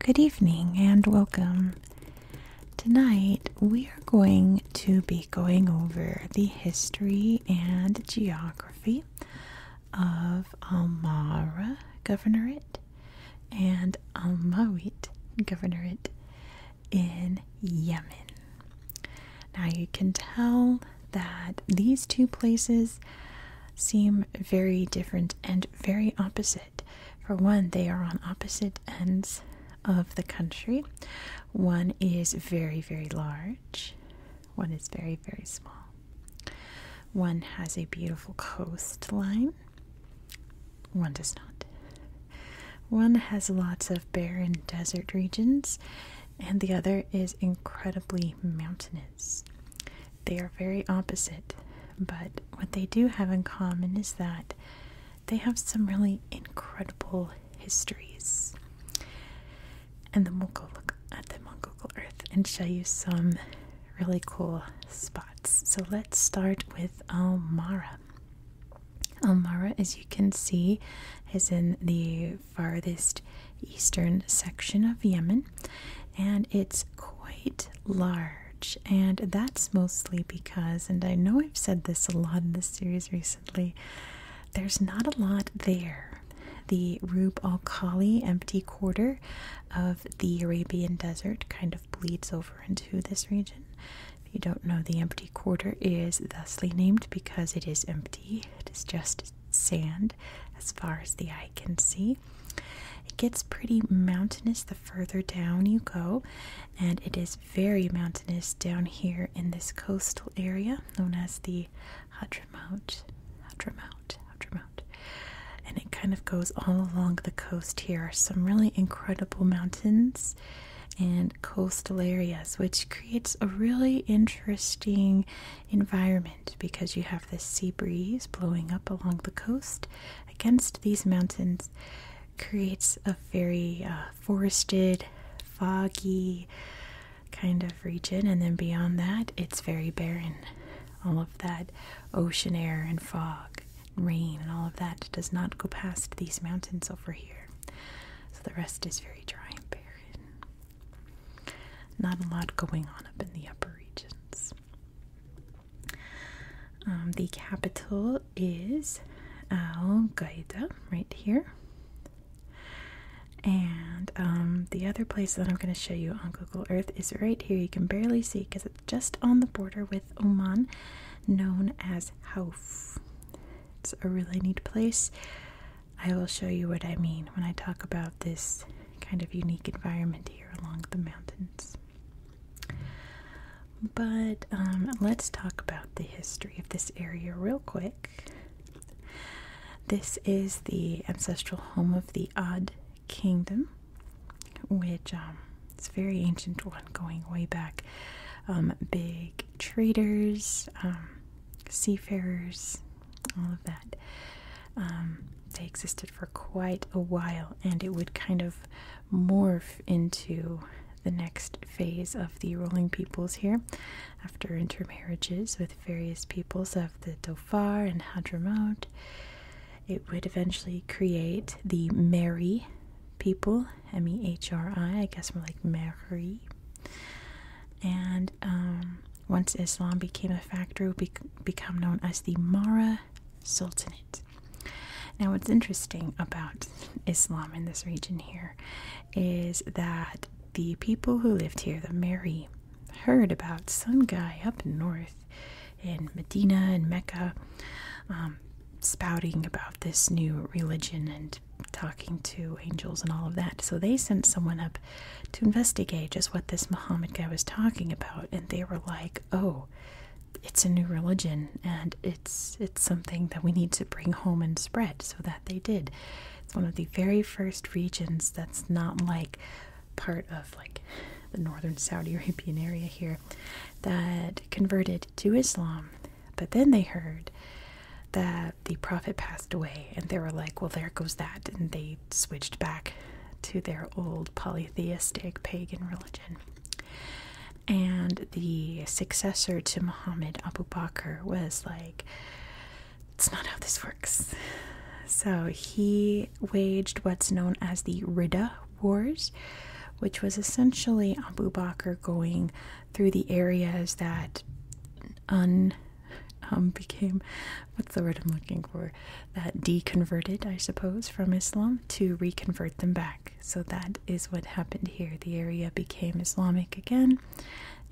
Good evening and welcome. Tonight we are going to be going over the history and geography of Almara Governorate and Al Almawit Governorate in Yemen. Now you can tell that these two places seem very different and very opposite. For one, they are on opposite ends of the country. One is very, very large, one is very, very small. One has a beautiful coastline, one does not. One has lots of barren desert regions, and the other is incredibly mountainous. They are very opposite, but what they do have in common is that they have some really incredible histories. And then we'll go look at them on Google Earth and show you some really cool spots. So let's start with Almara. Almara, as you can see, is in the farthest eastern section of Yemen, and it's quite large, and that's mostly because, and I know I've said this a lot in this series recently, there's not a lot there. The Rub al Khali empty quarter of the Arabian Desert kind of bleeds over into this region. If you don't know, the empty quarter is thusly named because it is empty, it is just sand as far as the eye can see. It gets pretty mountainous, further down you go, and it is very mountainous down here in this coastal area known as the Hadramout. Hadramawt, Hadramawt. And it kind of goes all along the coast here. some really incredible mountains and coastal areas, which creates a really interesting environment because you have this sea breeze blowing up along the coast against these mountains creates a very uh, forested, foggy kind of region, and then beyond that, it's very barren. All of that ocean air and fog, and rain, and all of that does not go past these mountains over here. So the rest is very dry and barren. Not a lot going on up in the upper regions. Um, the capital is Al Qaeda, right here. And um, the other place that I'm going to show you on Google Earth is right here. You can barely see because it's just on the border with Oman, known as Hauf. It's a really neat place. I will show you what I mean when I talk about this kind of unique environment here along the mountains. But um, let's talk about the history of this area real quick. This is the ancestral home of the Odd Kingdom, which um, is a very ancient one going way back. Um, big traders, um, seafarers, all of that. they existed for quite a while and it would kind of morph into the next phase of the ruling peoples here after intermarriages with various peoples of the Dhofar and Hadramaut. It would eventually create the Meri people, M E H R I, I guess more like Mehri. And um, once Islam became a factor, it would become known as the Mara Sultanate. Now, what's interesting about Islam in this region here is that the people who lived here, the Mary, heard about some guy up north in Medina and Mecca um, spouting about this new religion and talking to angels and all of that. So they sent someone up to investigate just what this Muhammad guy was talking about, and they were like, oh, it's a new religion and it's it's something that we need to bring home and spread so that they did it's one of the very first regions that's not like part of like the northern saudi arabian area here that converted to islam but then they heard that the prophet passed away and they were like well there goes that and they switched back to their old polytheistic pagan religion and the successor to Muhammad Abu Bakr was like, it's not how this works. So he waged what's known as the Ridda Wars, which was essentially Abu Bakr going through the areas that un um, became what's the word I'm looking for that deconverted, I suppose, from Islam to reconvert them back. So that is what happened here. The area became Islamic again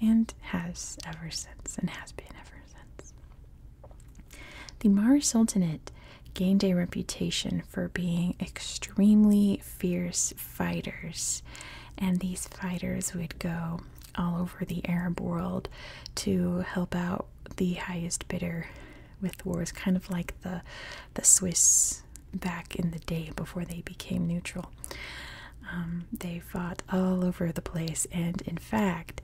and has ever since, and has been ever since. The Mara Sultanate gained a reputation for being extremely fierce fighters, and these fighters would go all over the Arab world to help out the highest bidder with wars, kind of like the the Swiss back in the day before they became neutral. Um, they fought all over the place, and in fact,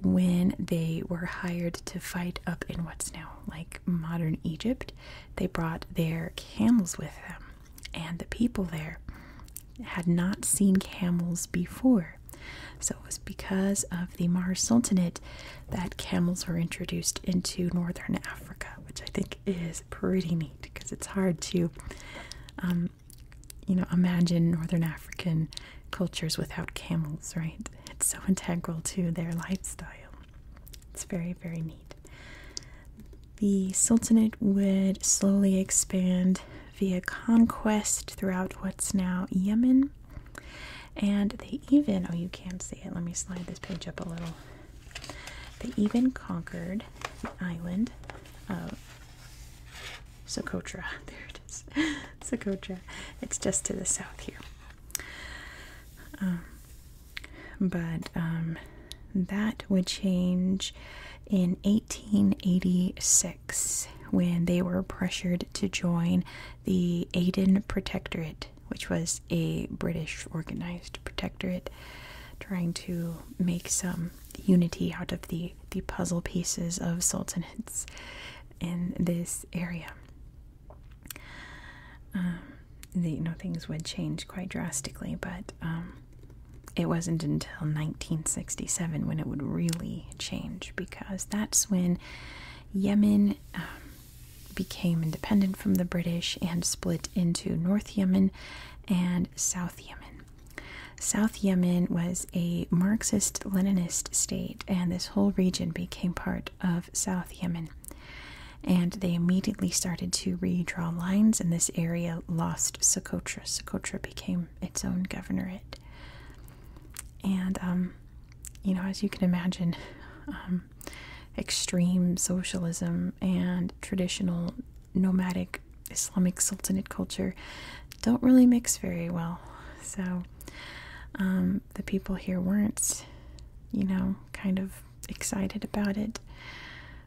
when they were hired to fight up in what's now like modern Egypt, they brought their camels with them, and the people there had not seen camels before. So it was because of the Mar Sultanate that camels were introduced into northern Africa, which I think is pretty neat because it's hard to, um, you know, imagine northern African cultures without camels, right? It's so integral to their lifestyle. It's very, very neat. The Sultanate would slowly expand via conquest throughout what's now Yemen. And they even, oh, you can't see it. Let me slide this page up a little. They even conquered the island of Socotra. There it is. Socotra. It's just to the south here. Um, but um, that would change in 1886 when they were pressured to join the Aden Protectorate which was a British organized protectorate, trying to make some unity out of the, the puzzle pieces of sultanates in this area. Um, you know, things would change quite drastically, but um, it wasn't until 1967 when it would really change because that's when Yemen um, became independent from the British and split into North Yemen and South Yemen. South Yemen was a Marxist Leninist state, and this whole region became part of South Yemen. And they immediately started to redraw lines, and this area lost Socotra. Socotra became its own governorate. And um, you know, as you can imagine, um, extreme socialism and traditional nomadic Islamic Sultanate culture don't really mix very well. So um, the people here weren't, you know, kind of excited about it.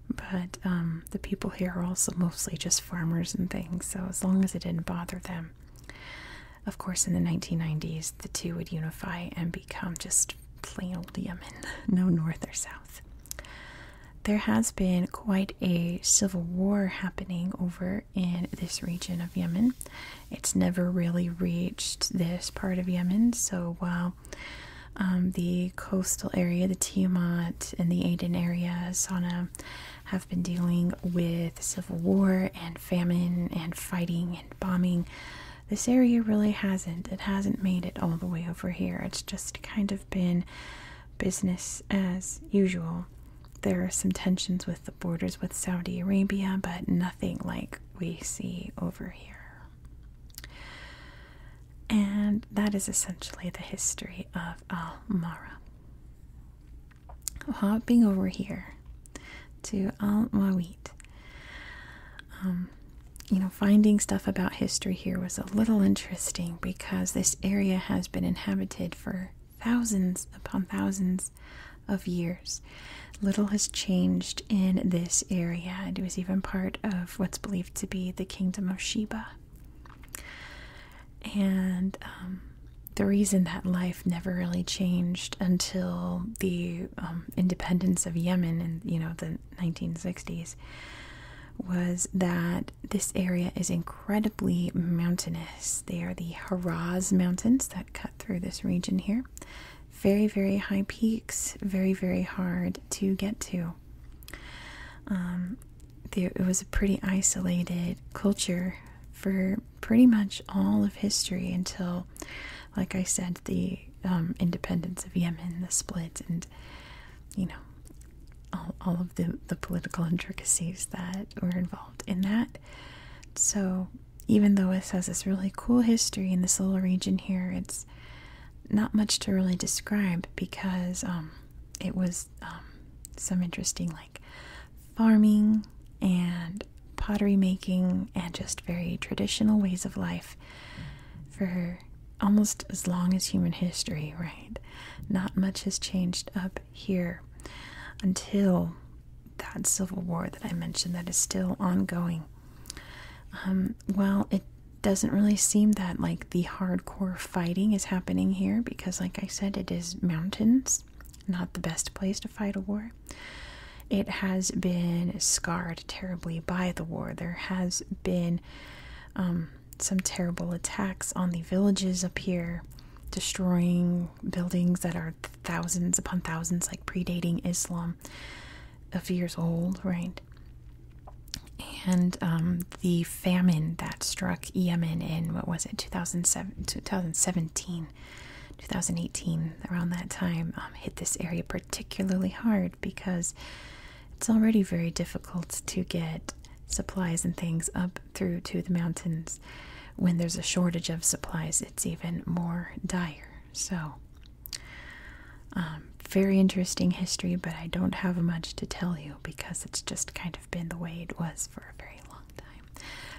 But um, the people here are also mostly just farmers and things, so as long as it didn't bother them, of course, in the 1990s, the two would unify and become just plain old Yemen, no north or south. There has been quite a civil war happening over in this region of Yemen. It's never really reached this part of Yemen, so while um, the coastal area, the Tiamat and the Aden area, Sana'a, have been dealing with civil war and famine and fighting bombing. This area really hasn't. It hasn't made it all the way over here. It's just kind of been business as usual. There are some tensions with the borders with Saudi Arabia, but nothing like we see over here. And that is essentially the history of Al Mara hopping over here to Al Mawit. Um, you know, finding stuff about history here was a little interesting because this area has been inhabited for thousands upon thousands of years. Little has changed in this area. and It was even part of what's believed to be the kingdom of Sheba. And um, the reason that life never really changed until the um, independence of Yemen in you know the 1960s was that this area is incredibly mountainous. They are the Haraz Mountains that cut through this region here. Very, very high peaks, very, very hard to get to. Um, it was a pretty isolated culture for pretty much all of history until, like I said, the um, independence of Yemen, the split, and you know, all, all of the, the political intricacies that were involved in that. So, even though it has this really cool history in this little region here, it's not much to really describe because um, it was um, some interesting, like, farming and pottery making and just very traditional ways of life for almost as long as human history, right? Not much has changed up here until that civil war that I mentioned that is still ongoing. Um, well, it doesn't really seem that like the hardcore fighting is happening here because, like I said, it is mountains, not the best place to fight a war. It has been scarred terribly by the war. There has been um, some terrible attacks on the villages up here, destroying buildings that are thousands upon thousands, like predating Islam, of years old, right? And um, the famine that struck Yemen in what was it, 2007, 2017 2018, around that time, um, hit this area particularly hard because it's already very difficult to get supplies and things up through to the mountains. When there's a shortage of supplies, it's even more dire. So, um, very interesting history, but I don't have much to tell you because it's just kind of been the way it was for a very long time.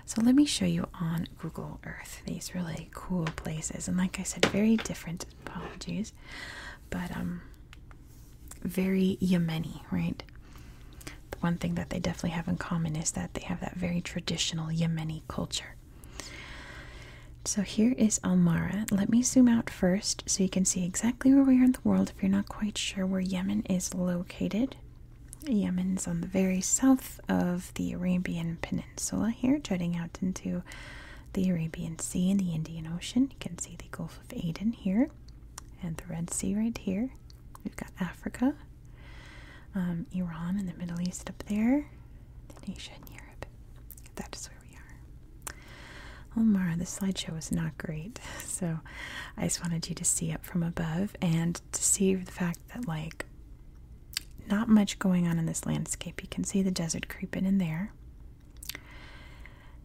So let me show you on Google Earth these really cool places. And like I said, very different apologies, but um very Yemeni, right? The one thing that they definitely have in common is that they have that very traditional Yemeni culture. So here is Almara. Let me zoom out first so you can see exactly where we are in the world if you're not quite sure where Yemen is located. Yemen's on the very south of the Arabian Peninsula here, jutting out into the Arabian Sea and the Indian Ocean. You can see the Gulf of Aden here and the Red Sea right here. We've got Africa, um, Iran, and the Middle East up there, then Asia and Europe. That is where we are. Omar, the slideshow was not great, so I just wanted you to see it from above. And to see the fact that like not much going on in this landscape. You can see the desert creeping in there.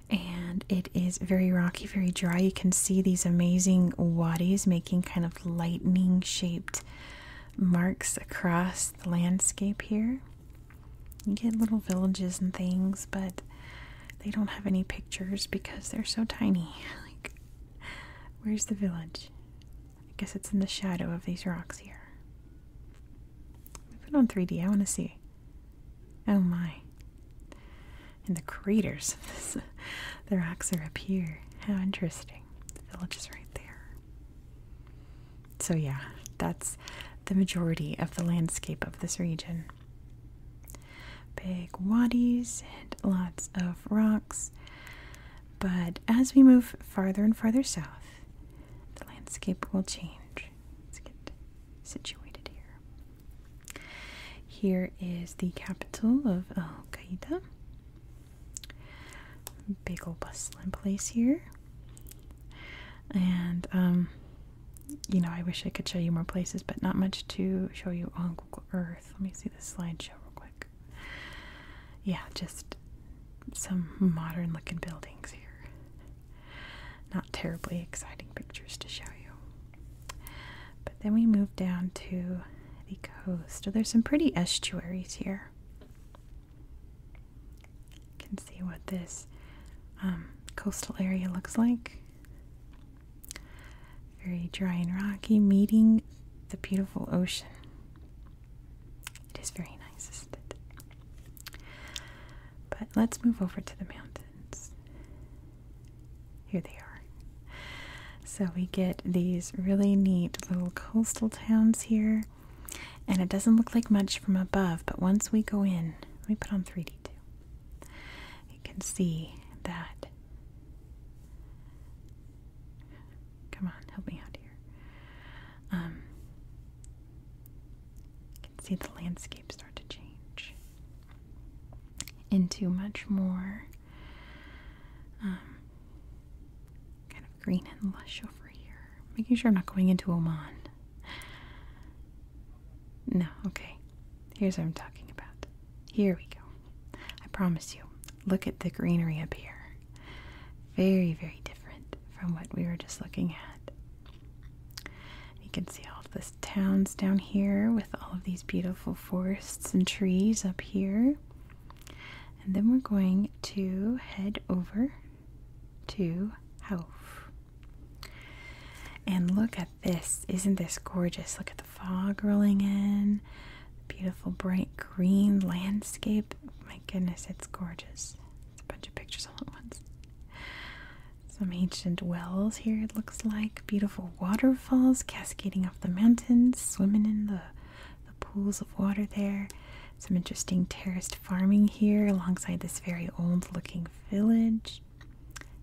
And it is very rocky, very dry. You can see these amazing wadis making kind of lightning shaped marks across the landscape here. You get little villages and things, but they don't have any pictures because they're so tiny. Like Where's the village? I guess it's in the shadow of these rocks here. Put on 3D. I want to see. Oh my. And the craters of this. the rocks are up here. How interesting. The village is right there. So, yeah, that's the majority of the landscape of this region. Big wadis and lots of rocks. But as we move farther and farther south, the landscape will change. Let's get situated here. Here is the capital of Al Qaeda. Big old bustling place here. And, um, you know, I wish I could show you more places, but not much to show you on Google Earth. Let me see this slideshow real quick. Yeah, just some modern looking buildings here. Not terribly exciting pictures to show you. But then we move down to the coast. So there's some pretty estuaries here. You can see what this um, coastal area looks like very dry and rocky, meeting the beautiful ocean. It is very nice, isn't it? But let's move over to the mountains. Here they are. So we get these really neat little coastal towns here. And it doesn't look like much from above, but once we go in, let me put on 3D too. You can see that Come on, help me out here. you um, can see the landscape start to change into much more um, kind of green and lush over here. Making sure I'm not going into Oman. No, okay. Here's what I'm talking about. Here we go. I promise you. Look at the greenery up here. Very, very different from what we were just looking at. You can see all of the towns down here with all of these beautiful forests and trees up here. And then we're going to head over to Hauf. And look at this. Isn't this gorgeous? Look at fog rolling in, beautiful bright green landscape. My goodness, it's gorgeous. It's a bunch of pictures all at once. Some ancient wells here, it looks like. Beautiful waterfalls cascading off the mountains, swimming in the, the pools of water there. Some interesting terraced farming here alongside this very old looking village.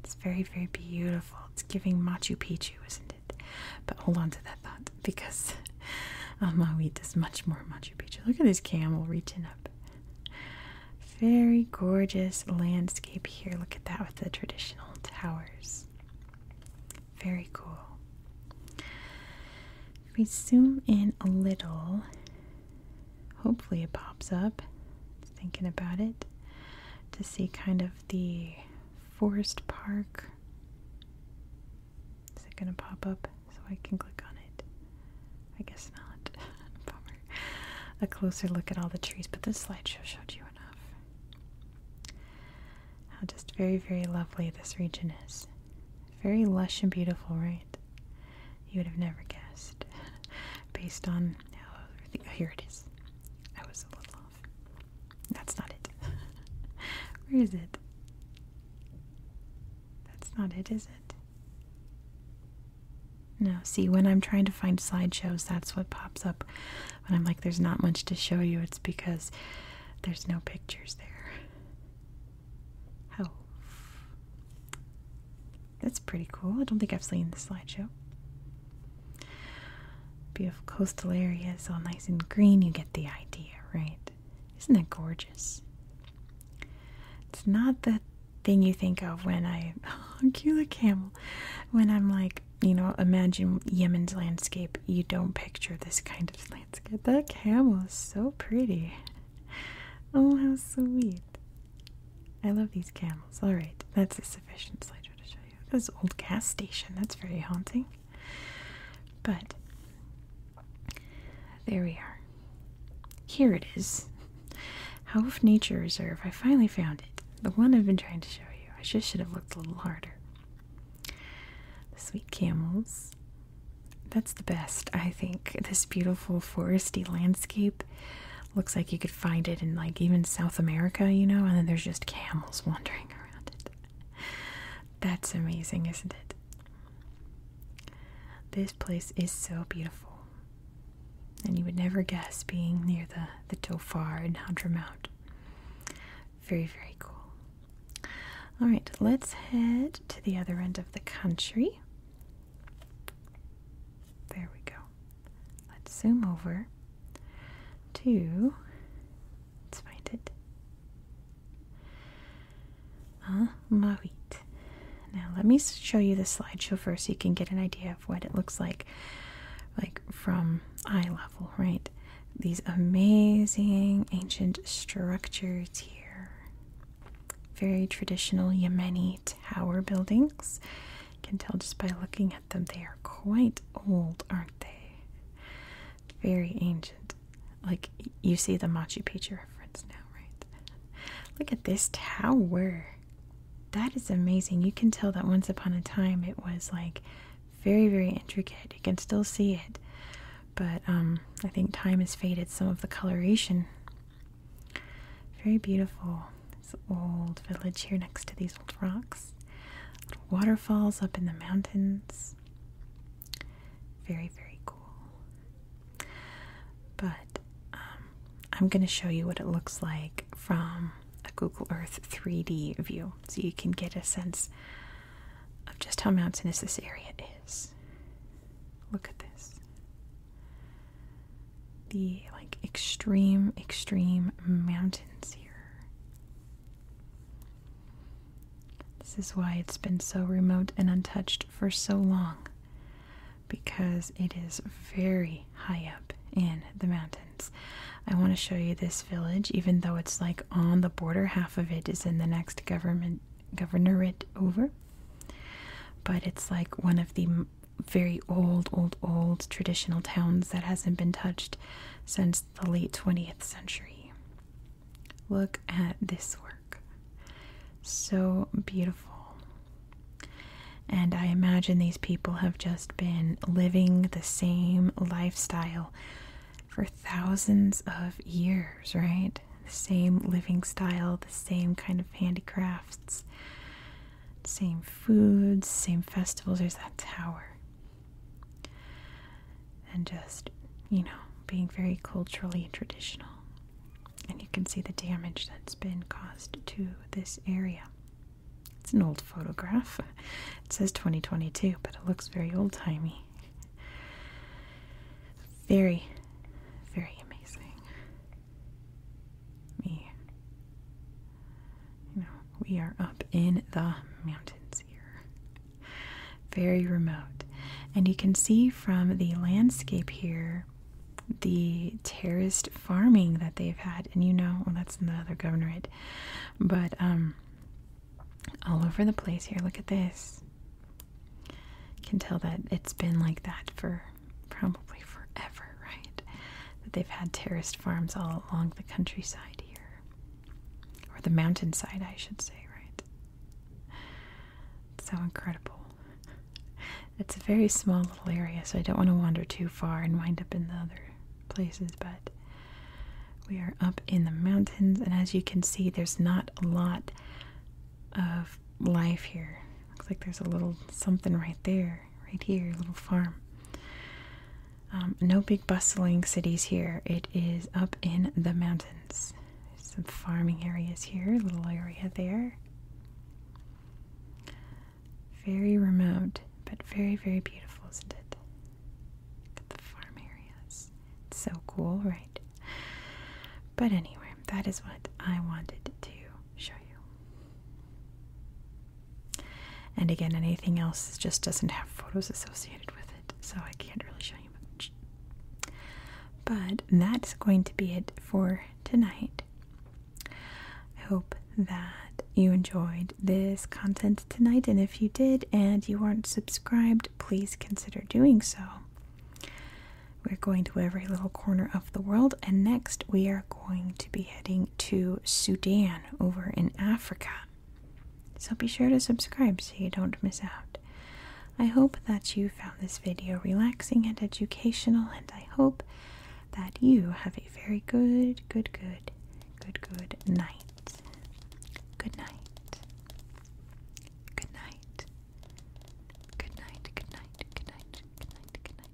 It's very, very beautiful. It's giving Machu Picchu, isn't it? But hold on to that thought because oh, Almawi does much more Machu Picchu. Look at this camel reaching up. Very gorgeous landscape here. Look at that with the traditional towers. Very cool. If we zoom in a little, hopefully it pops up. Thinking about it to see kind of the forest park. Is it going to pop up so I can click on it? I guess not. A closer look at all the trees, but this slideshow showed you enough. How just very, very lovely this region is. Very lush and beautiful, right? You would have never guessed based on here it is. I was a little that's not it. Where is it? That's not it, is it? No, see, when I'm trying to find slideshows, that's what pops up. When I'm like, there's not much to show you, it's because there's no pictures there. Oh. That's pretty cool. I don't think I've seen the slideshow. Beautiful coastal areas, all nice and green. You get the idea, right? Isn't that gorgeous? It's not the thing you think of when I oh, cute little camel. When I'm like, you know, imagine Yemen's landscape. You don't picture this kind of landscape. That camel is so pretty. Oh, how sweet. I love these camels. All right, that's a sufficient slideshow to show you. This old gas station, that's very haunting. But there we are. Here it is. How if Nature If I finally found it. The one I've been trying to show you. I just should have looked a little harder. The sweet camels. That's the best, I think. This beautiful foresty landscape looks like you could find it in like even South America, you know, and then there's just camels wandering around it. That's amazing, isn't it? This place is so beautiful. And you would never guess being near the, the Tofar and Hunter Very, very cool. Alright, let's head to the other end of the country. There we go. Let's zoom over to Let's find it. Ah, Marit. Now let me show you the slideshow first so you can get an idea of what it looks like like from eye level, right? These amazing ancient structures here. Very traditional Yemeni tower buildings. You can tell just by looking at them they are quite old, aren't they? Very ancient. Like, you see the Machu Picchu reference now, right? Look at this tower. That is amazing. You can tell that once upon a time it was like very, very intricate. You can still see it. But um, I think time has faded some of the coloration. Very beautiful. This old village here next to these old rocks waterfalls up in the mountains. Very, very cool. But um, I'm going to show you what it looks like from a Google Earth 3D view so you can get a sense of just how mountainous this area is. Look at this. The like extreme, extreme mountains here. This is why it's been so remote and untouched for so long, because it is very high up in the mountains. I want to show you this village, even though it's like on the border, half of it is in the next government governorate over. But it's like one of the very old, old, old traditional towns that hasn't been touched since the late 20th century. Look at this work. So beautiful. And I imagine these people have just been living the same lifestyle for thousands of years, right? The same living style, the same kind of handicrafts, same foods, same festivals. There's that tower and just, you know, being very culturally traditional. And you can see the damage that's been caused to this area. It's an old photograph. It says 2022, but it looks very old timey. Very, very amazing. Me you know, we are up in the mountains here. Very remote. And you can see from the landscape here the terraced farming that they've had. And you know, well, oh, that's another the governorate. But um, all over the place here, look at this. You can tell that it's been like that for probably forever, right? That they've had terraced farms all along the countryside here. Or the mountainside, I should say, right? so incredible. It's a very small little area, so I don't want to wander too far and wind up in the other places, but we are up in the mountains, and as you can see, there's not a lot of life here. Looks like there's a little something right there, right here, a little farm. Um, no big bustling cities here. It is up in the mountains. some farming areas here, little area there. Very remote, but very, very beautiful, isn't it? Look at the farm areas. It's so cool, right? But anyway, that is what I wanted to show you. And again, anything else just doesn't have photos associated with it, so I can't really show you much. But that's going to be it for tonight. I hope that you enjoyed this content tonight, and if you did and you aren't subscribed, please consider doing so. We're going to every little corner of the world, and next we are going to be heading to Sudan over in Africa. So be sure to subscribe so you don't miss out. I hope that you found this video relaxing and educational, and I hope that you have a very good, good, good, good, good night. Good night. Good night. Good night. Good night. Good night. Good night. Good night. Good night. Good night.